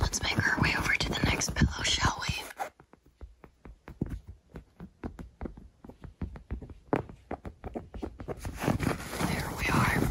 Let's make our way over to the next pillow, shall we? There we are.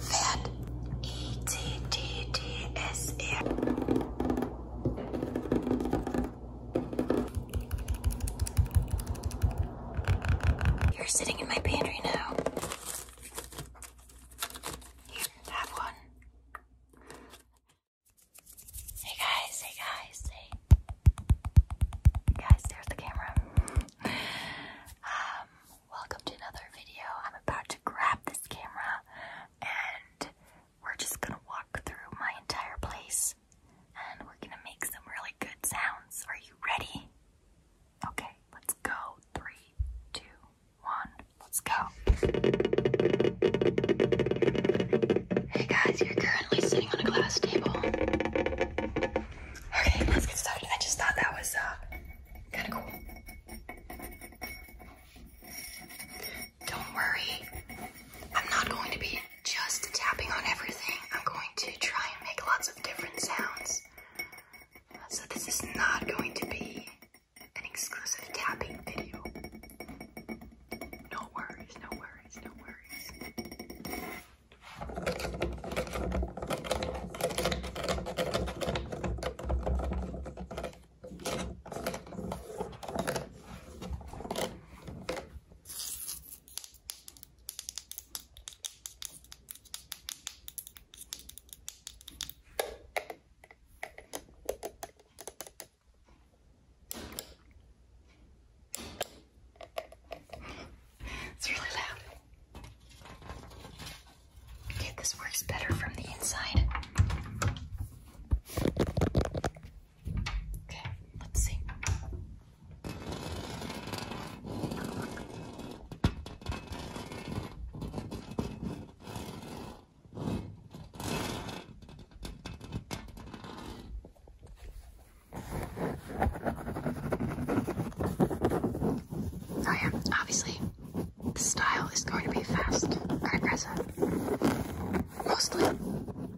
Fat. E T T T S A. You're sitting in my pantry now. have one. Hey guys, hey guys, hey. Guys, there's the camera. Um, welcome to another video. I'm about to grab this camera and we're just gonna walk through my entire place and we're gonna make some really good sounds. Are you ready? Okay, let's go. Three, two, one, let's go. Hey guys, you're currently sitting on a glass table. Okay, let's get started. I just thought that was uh, kind of cool. Don't worry, I'm not going to be just tapping on everything. I'm going to try and make lots of different sounds. So this is not going to be an exclusive tapping video. No worries, no worries, no worries. It's really loud. Okay, this works better from the inside. Okay, let's see. Oh yeah, obviously the style is going to be fast and aggressive. Mostly.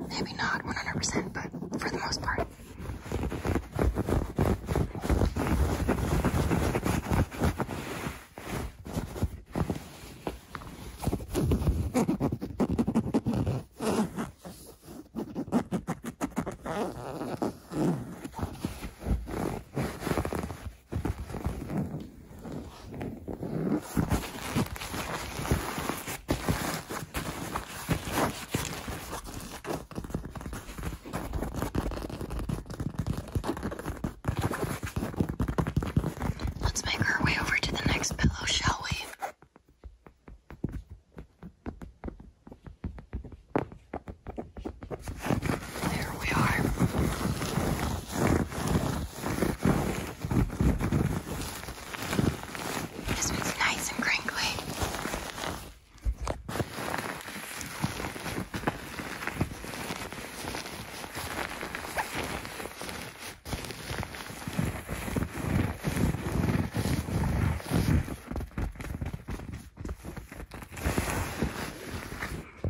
Maybe not 100%, but for the most part. Let's make our way over to the next pillow, shall we? There we are. This one's nice and crinkly.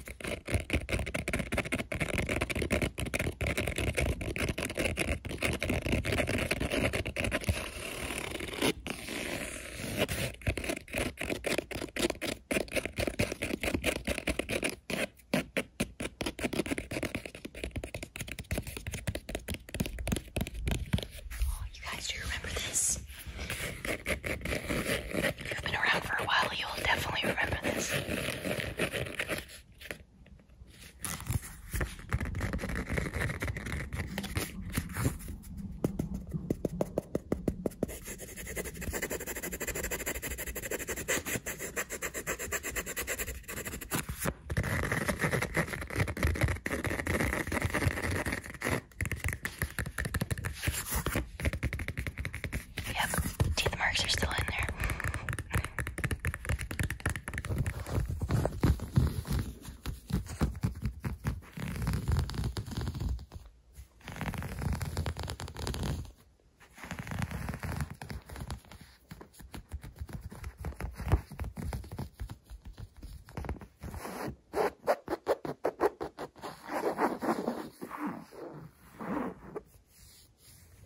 Oh, you guys, do you remember this? you've been around for a while, you'll definitely remember this. Yep, teeth marks are still in there.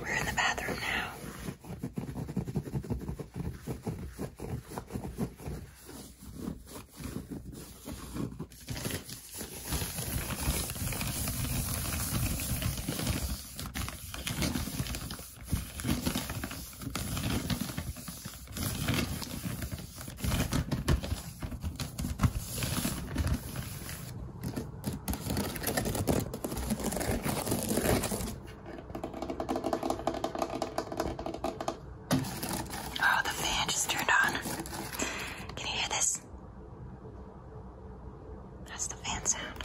We're in the bathroom now. Oh, the fan just turned on. Can you hear this? That's the fan sound.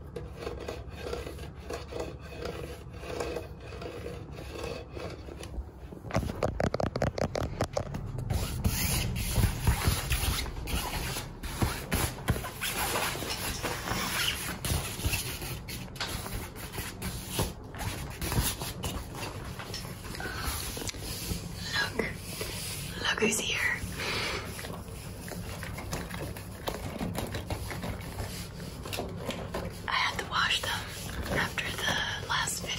Look, look who's here. I had to wash them after the last video.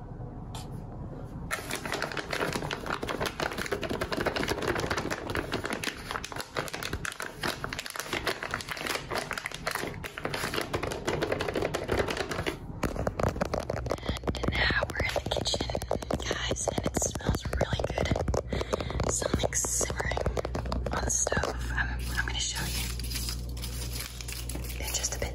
And now we're in the kitchen, guys, and it smells really good. Something simmering on the stove. I'm, I'm gonna show you just a bit.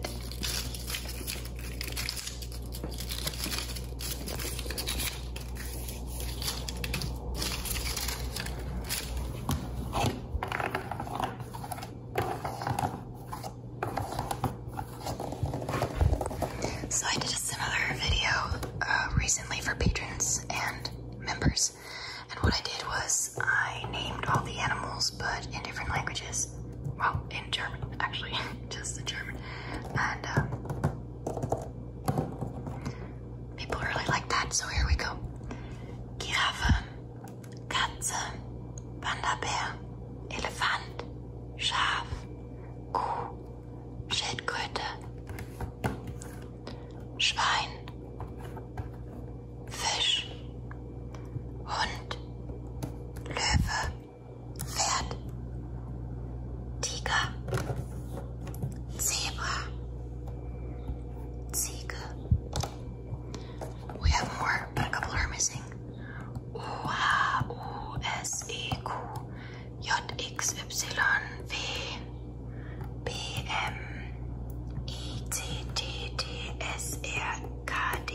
So I did a similar video uh, recently for patrons and members, and what I did was I named all the animals, but in different languages. Well, German, actually, just the German. And um, people really like that, so here we go. Giraffe, Katze, Bear, Elephant, Schaf, Kuh, Schildkröte, Schwein, Fisch, Hund, Löwe, Pferd, Tiger, Zebra, Ziege. We have more, but a couple are missing. U H U S E Q J X Y V B M E T T T S R K D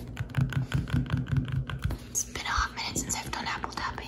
It's been a hot minute since I've done apple tapping.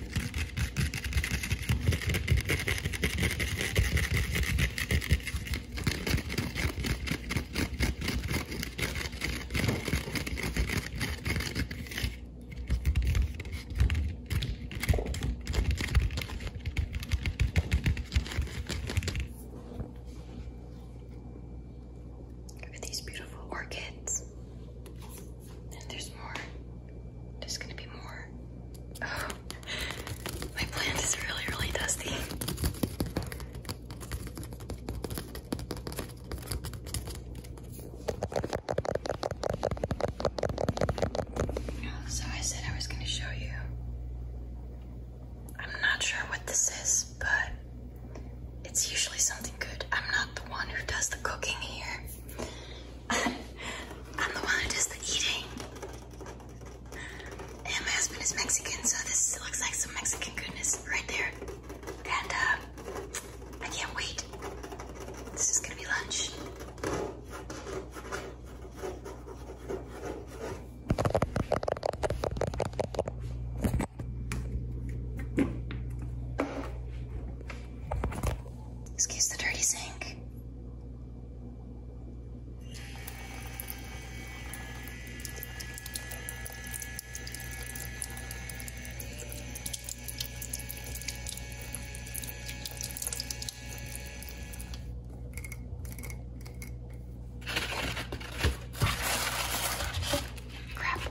Look at these beautiful orchids. And there's more. There's gonna be more. Oh, my plant is really, really dusty. So I said I was going to show you. I'm not sure what this is, but it's usually something good. I'm not the one who does the cooking here. I'm the one who does the eating. And my husband is Mexican, so this looks like some Mexican goodness right there. And uh, I can't wait. This is gonna be lunch. Excuse the dirty sink. Crap.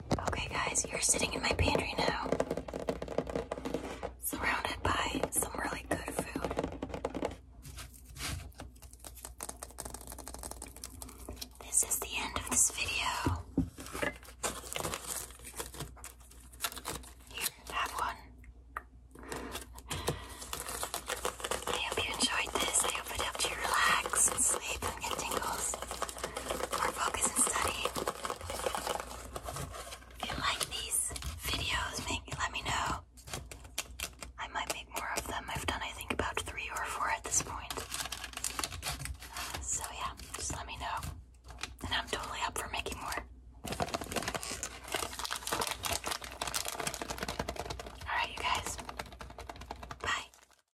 Okay, guys, you're sitting in my pantry now, surrounded by some really good food. This is the end of this video. Here, have one. I hope you enjoyed this. I hope it helped you relax sleep and get tingles focus and study. If you like these videos, make let me know. I might make more of them. I've done I think about three or four at this point. Uh, so yeah, just let me know. And I'm totally up for making more. Alright you guys. Bye.